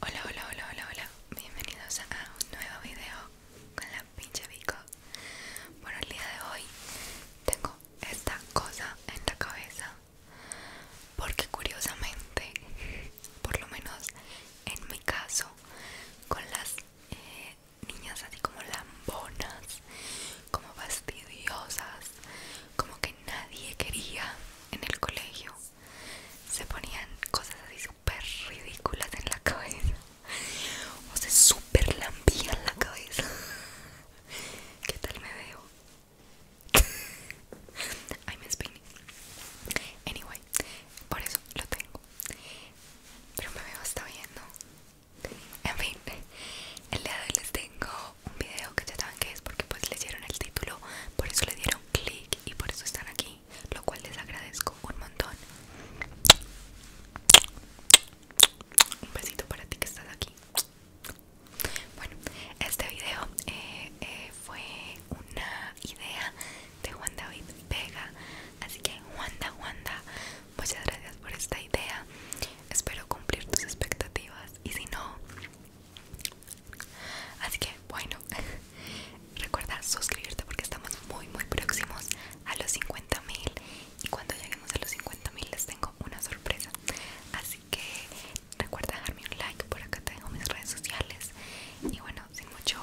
Hola, hola, hola, hola, hola. Bienvenidos a un nuevo video con la pinche Vico. Bueno, el día de hoy tengo esta cosa en la cabeza porque curiosamente, por lo menos en mi caso, con las eh, niñas así como lambonas, como fastidiosas, como que nadie quería en el colegio se ponían cosas así súper ridículas en la cabeza o se súper en la cabeza ¿qué tal me veo? I'm spinning anyway por eso lo tengo pero me veo hasta bien ¿no? en fin el día de hoy les tengo un video que ya saben que es porque pues leyeron el título por eso le dieron clic y por eso están aquí, lo cual les agradezco un montón. Un besito para ti que estás aquí. Bueno, este video eh, eh, fue una idea de Juan David Vega. Así que Juanda, Juanda, muchas gracias por esta idea. Espero cumplir tus expectativas. Y si no, Así que bueno, recuerda suscribirte porque estamos muy muy próximos a los 50.000 y cuando lleguemos a los 50.000 les tengo una sorpresa. Así que recuerda dejarme un like, por acá tengo mis redes sociales y bueno, sin mucho...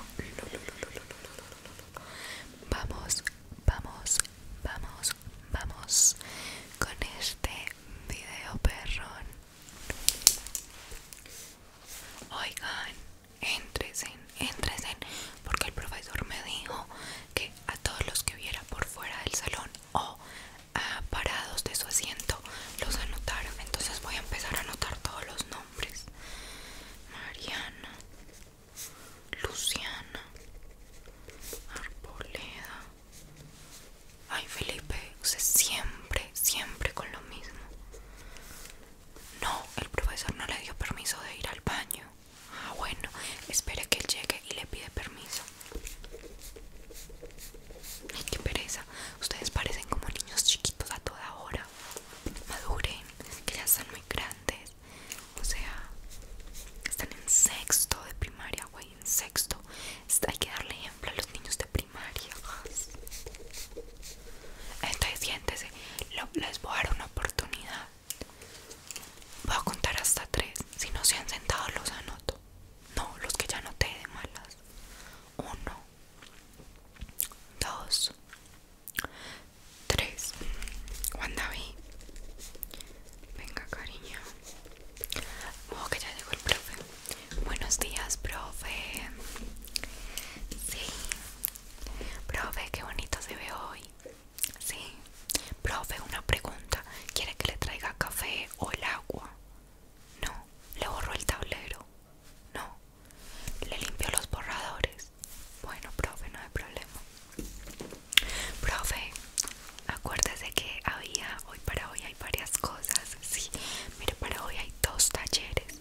Vamos, vamos, vamos, vamos con este video perrón. Oigan, entresen, entresen, porque el profesor me dijo que a todos los que viera por fuera del salón o a parados de su asiento los anotaron Entonces voy a empezar a anotar todos los nombres. Mariana, Luciana, Arboleda, Ay, Felipe, usted siempre, siempre con lo mismo. No, el profesor no le dio permiso de ir al baño. Ah, bueno, espere que él llegue y le pide permiso. Ay, qué pereza. Ustedes parecen como niños chiquitos a toda hora. Maduren, que ya son muy grandes. O sea, están en sexto de primaria, güey sexto este, hay que darle ejemplo a los niños de primaria entonces siéntese les voy a dar una oportunidad voy a contar hasta tres si no se han sentado los anoto no, los que ya te de malas uno dos tres Juan David venga cariño Oh, que ya llegó el profe. Buenos días, profe. Sí. Profe, qué bonito se ve hoy. Sí. Profe, una pregunta. ¿Quiere que le traiga café o el agua? No. Le borro el tablero. No. Le limpio los borradores. Bueno, profe, no hay problema. Profe, acuérdese que había hoy para hoy hay varias cosas sí mire para hoy hay dos talleres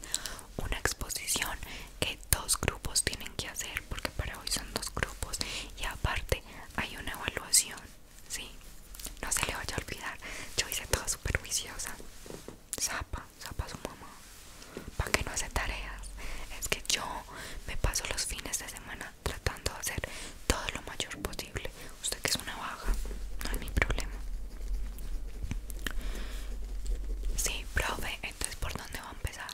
una exposición que dos grupos tienen que hacer porque para hoy son dos grupos y aparte hay una evaluación no se le vaya a olvidar yo hice todo super viciosa zapa zapa su mamá para que no hace tareas es que yo me paso los fines de semana tratando de hacer todo lo mayor posible usted que es una vaga, no es mi problema. Sí, profe, entonces por dónde va a empezar?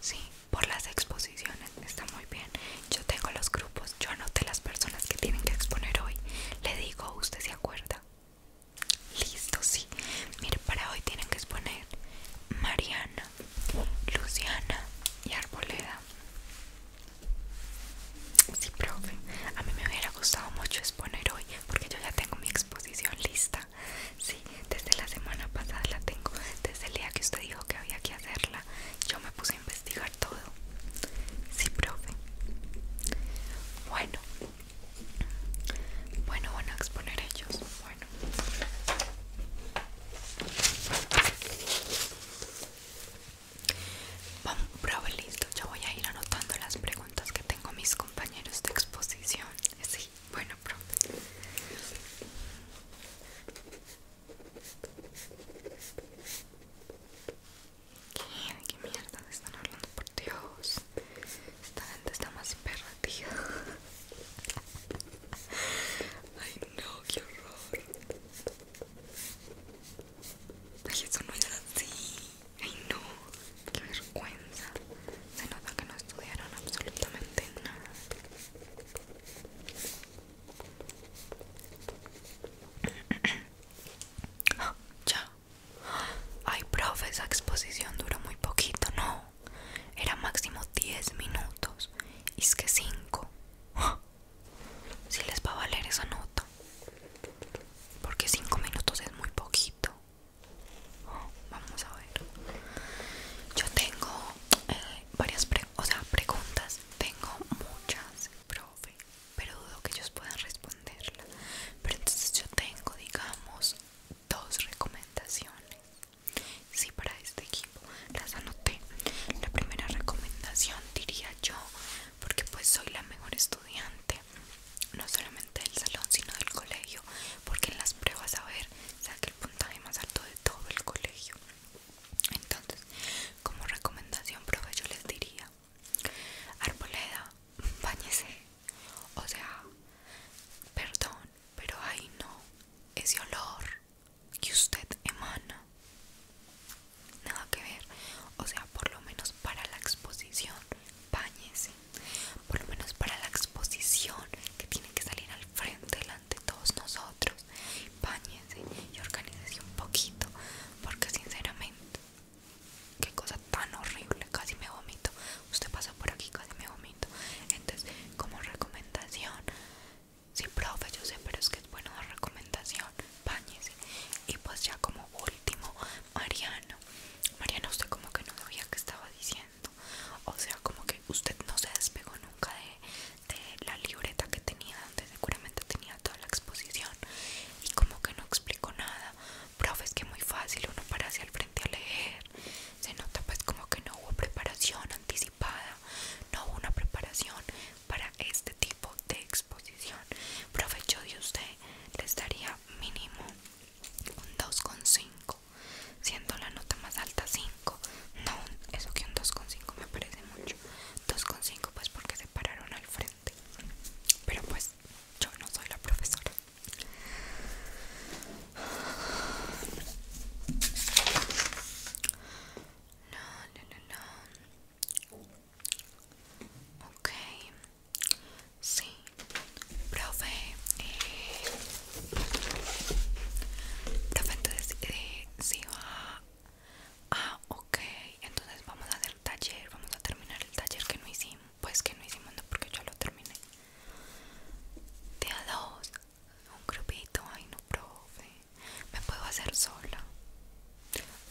Sí, por las exposiciones, está muy bien. Yo tengo los grupos, yo anoté las personas que tienen que exponer hoy. Le digo, ¿usted se acuerda? Listo, sí. Mire, para hoy tienen que exponer Mariana, Luciana y Arboleda. Sí, profe. A mí me hubiera gustado mucho exponer hoy porque yo ya tengo mi exposición lista. Sí, desde la semana pasada la tengo. Desde el día que usted dijo que había que hacerla, yo me puse a investigar todo. Sí, profe. Bueno. Bueno, van a exponer ellos. Bueno. Vamos, bravo, listo. Ya voy a ir anotando las preguntas que tengo mis compañeros de exposición. Sí, bueno, profe. ¿Qué? mierda están hablando? Por Dios. Esta gente está más perra, tía. Ay, no, qué horror. Ay, eso no es así. Ay, no. Qué vergüenza. Se nota que no estudiaron absolutamente nada. ya. Ay, profe, esa exposición duró muy poquito, no. Era máximo 10 minutos. Y es que 5 si les va a valer esa nota porque 5 minutos es muy poquito oh, vamos a ver yo tengo eh, varias preguntas tengo muchas profe pero dudo que ellos puedan responderla pero entonces yo tengo digamos dos recomendaciones si sí, para este equipo las anoté la primera recomendación diría yo porque pues soy la mejor estudiante no solamente del salón sino del colegio porque en las pruebas a ver Saca el puntaje más alto de todo el colegio entonces como recomendación profe yo les diría arboleda bañese o sea perdón pero ahí no ese olor que usted emana nada que ver o sea por lo menos para la exposición bañese por lo menos para la exposición que tiene que salir al frente delante de todos nosotros bañese y organícese un poquito porque sinceramente qué cosa tan horrible casi me vomito usted pasa por aquí casi me vomito entonces como recomendación Sí, profe, yo sé, pero es que es bueno la recomendación. Báñese. Y pues ya como último, Mariano. Mariano, usted como que no sabía qué estaba diciendo. O sea, como que usted no se despegó nunca de, de la libreta que tenía, donde seguramente tenía toda la exposición. Y como que no explicó nada. Profe, es que muy fácil uno para hacia el frente a leer. Se nota pues como que no hubo preparación anticipada. No hubo una preparación para este tipo de exposición provecho de usted les daría mínimo un 2,5 siendo la nota más alta 5 no eso que un 2,5 me parece mucho 2,5 pues porque se pararon al frente pero pues yo no soy la profesora no, no, no, no ok sí profe eh, profe entonces eh, si va ah ok entonces vamos a hacer el taller vamos a terminar el taller que no hicimos pues que no hicimos no porque yo lo terminé día 2 un grupito, ay no, profe. Me puedo hacer sola.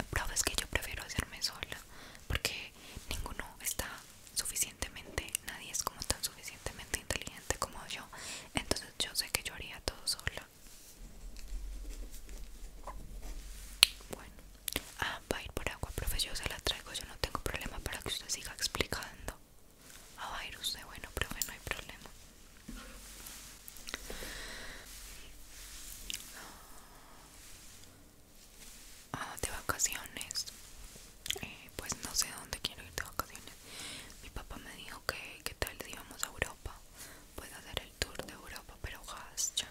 Profe, es que yo prefiero hacerme sola. Porque ninguno está suficientemente, nadie es como tan suficientemente inteligente como yo. Entonces yo sé que yo haría todo sola. Bueno, ah, va a ir por agua, profe. Yo se la traigo. Yo no tengo problema para que usted siga explicando a virus de bueno, profe, no hay problema. Ah, de vacaciones. Eh, pues no sé dónde quiero ir de vacaciones. Mi papá me dijo que tal si íbamos a Europa. puedo hacer el tour de Europa, pero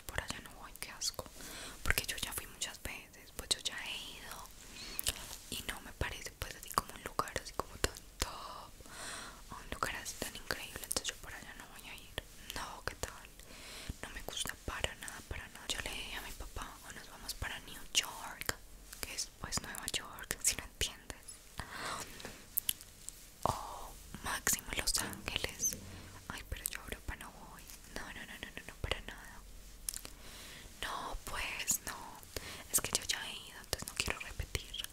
por allá no voy, que asco. Porque yo ya fui muchas veces, pues yo ya he ido. Y no me parece pues así como un lugar así como tan top, un lugar así tan increíble, entonces yo para allá no voy a ir. No, ¿qué tal? No me gusta para nada, para no. Yo le dije a mi papá, o oh, nos vamos para New York, que es pues Nueva York, si no entiendes. O máximo Los Ángeles. Ay, pero yo Europa no voy. No, no, no, no, no, no, para nada. No, pues no. Es que yo ya he ido, entonces no quiero repetir.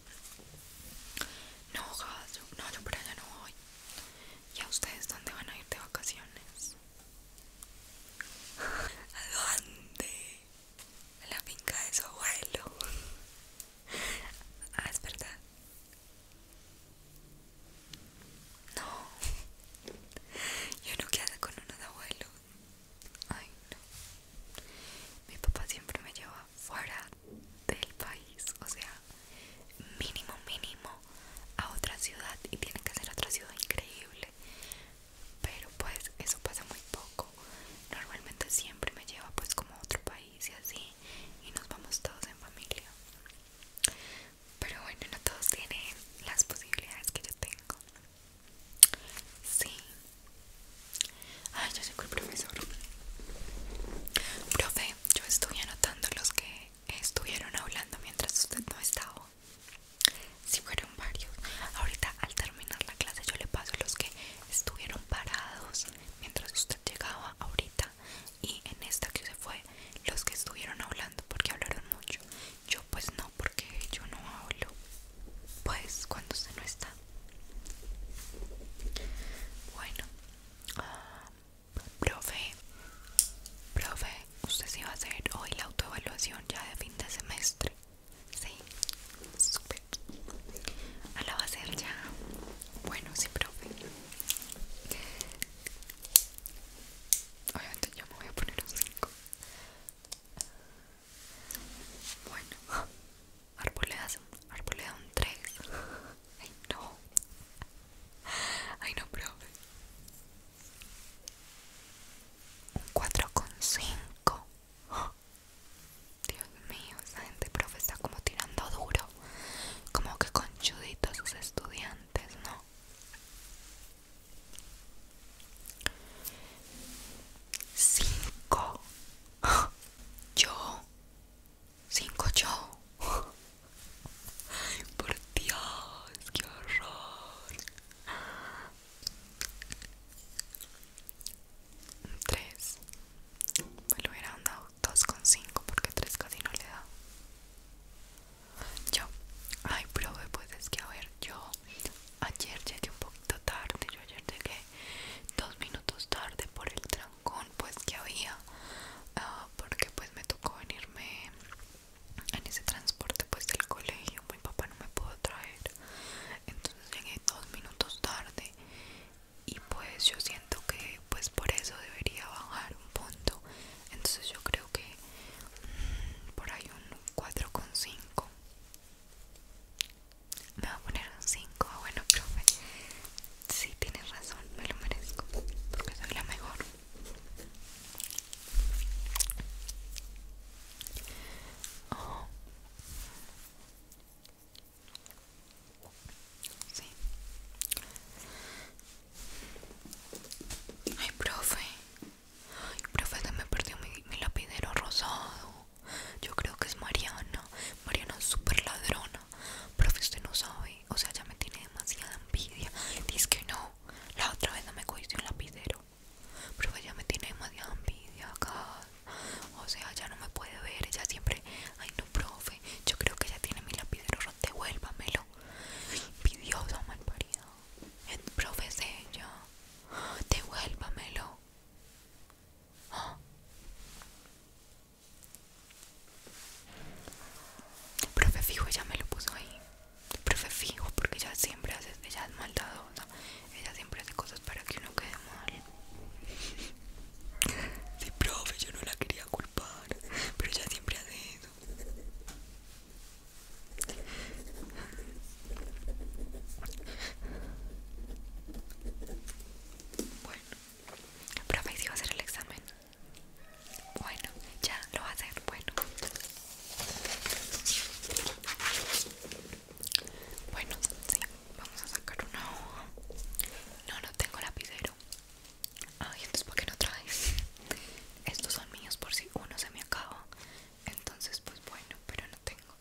No, no, yo por allá no voy. ¿Y a ustedes dónde van a ir de vacaciones? ¿A dónde? A la finca de su abuelo. Ah, es verdad. No. Yo no quedo con con de abuelos? Ay, no. Mi papá siempre me lleva fuera del país, o sea, mínimo, mínimo a otra ciudad y tiene que ser otra ciudad increíble. Pero pues eso pasa muy poco. Normalmente siempre me lleva pues como a otro país y así y nos vamos todos en familia. Pero bueno, no todos tienen las posibilidades que yo tengo. Sí. Ay, ya que el profesor. Profe, yo estuve anotando los que estuvieron hablando mientras usted no estaba. Si sí, fueron varios. Ahorita al terminar la clase yo le paso los que estuvieron parados mientras usted llegaba ahorita y en esta que se fue los que estuvieron hablando porque hablaron mucho. Yo pues no porque yo no hablo pues cuando se no está bueno profe profe usted sí va a hacer hoy la autoevaluación ya de fin de semestre sí super ah, la va a hacer ya bueno sí profe Obviamente yo me voy a poner un 5 bueno, arboleda un, un 3. Ay, no. Ay, no, profe. Un con 5 Dios mío, esa gente, profe, está como tirando duro. Como que con conchuditos sus estudiantes, ¿no? 5 yo 5 yo por Dios que horror 3 Me lo hubiera andado 2 con 5 porque 3 casi no le da Yo ay prove pues es que a ver yo ayer llegué un poquito tarde, yo ayer llegué dos minutos tarde por el trancón pues que había ah, porque pues me tocó venirme en ese transporte pues del colegio, mi papá no me pudo traer entonces llegué dos minutos tarde y pues yo siento que pues por eso debería bajar un punto entonces yo creo que mm, por ahí un 4,5 me va a poner un 5, ah, bueno profe Si tienes razón, me lo merezco Porque soy la mejor oh. Sí Ay, profe Ay, profe, se me perdió mi, lapidero rosado. Yo creo que es Mariana. Mariana es súper ladrona. Profe, usted no sabe. O sea, ya me tiene demasiada envidia. Dice que no. La otra vez no me cogiste un lapidero. Profe, ya me tiene demasiada envidia acá. O sea, ya no me puede ver. Ella siempre. Ay, no, profe. Yo creo que ella tiene mi lapidero roto. Devuélvamelo. Envidiosa, malparido el profe profesé yo ah, devuélvamelo El ah. profe fijo ella me lo puso ahí profe fijo porque ella siempre hace ella es maldadosa ella siempre hace cosas para que uno quede mal Si profe yo no la quería culpar pero ella siempre hace eso bueno, profe, si va a hacer el examen. Bueno, ya lo va a hacer. Bueno, bueno, sí, vamos a sacar una hoja. No, no tengo lapicero. Ay, entonces, ¿por qué no traes? Estos son míos por si uno se me acaba entonces pues bueno pero no tengo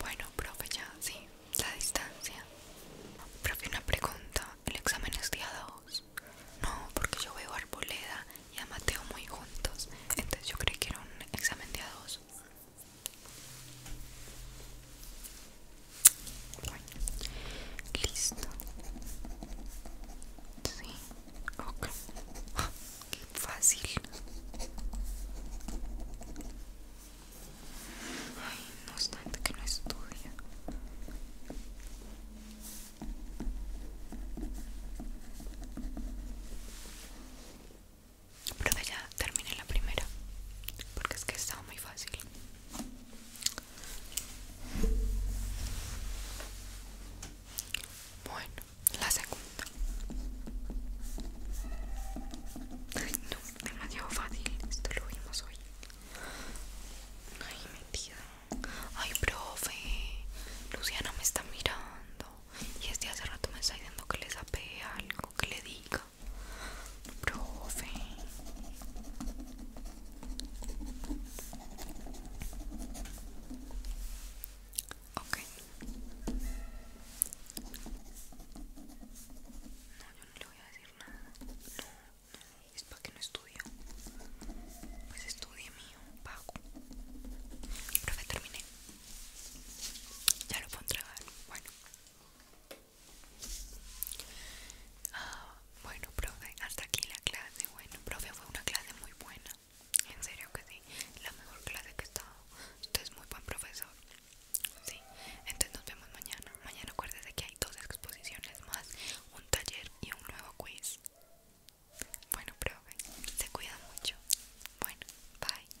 bueno profe ya sí la distancia profe una pregunta el examen es día 2 no porque yo veo a arboleda y a mateo muy juntos entonces yo creí que era un examen día 2 listo. Sí, ok. Qué fácil. Ay, no obstante que no estudia. Pero ya terminé la primera, porque es que estaba muy fácil. Bueno, la segunda. Ay, no, demasiado fácil. Esto lo vimos hoy. Ay, mentira. Ay, profe. Luciana me está mirando. Y este hace rato me está diciendo que le sape algo, que le diga profe. Ok. No, yo no le voy a decir nada. No, no, es para que no estudie Pues estudie mío, pago. Profe, terminé. Ya lo puedo entregar. Bueno. Ah, bueno, profe, hasta aquí la clase. Bueno, profe, fue una clase muy buena. En serio que sí, la mejor clase que he estado. Usted es muy buen profesor. entonces nos vemos mañana. Mañana acuérdese que hay dos exposiciones más, un taller y un nuevo quiz. Bueno, profe, se cuida mucho. Bueno, bye.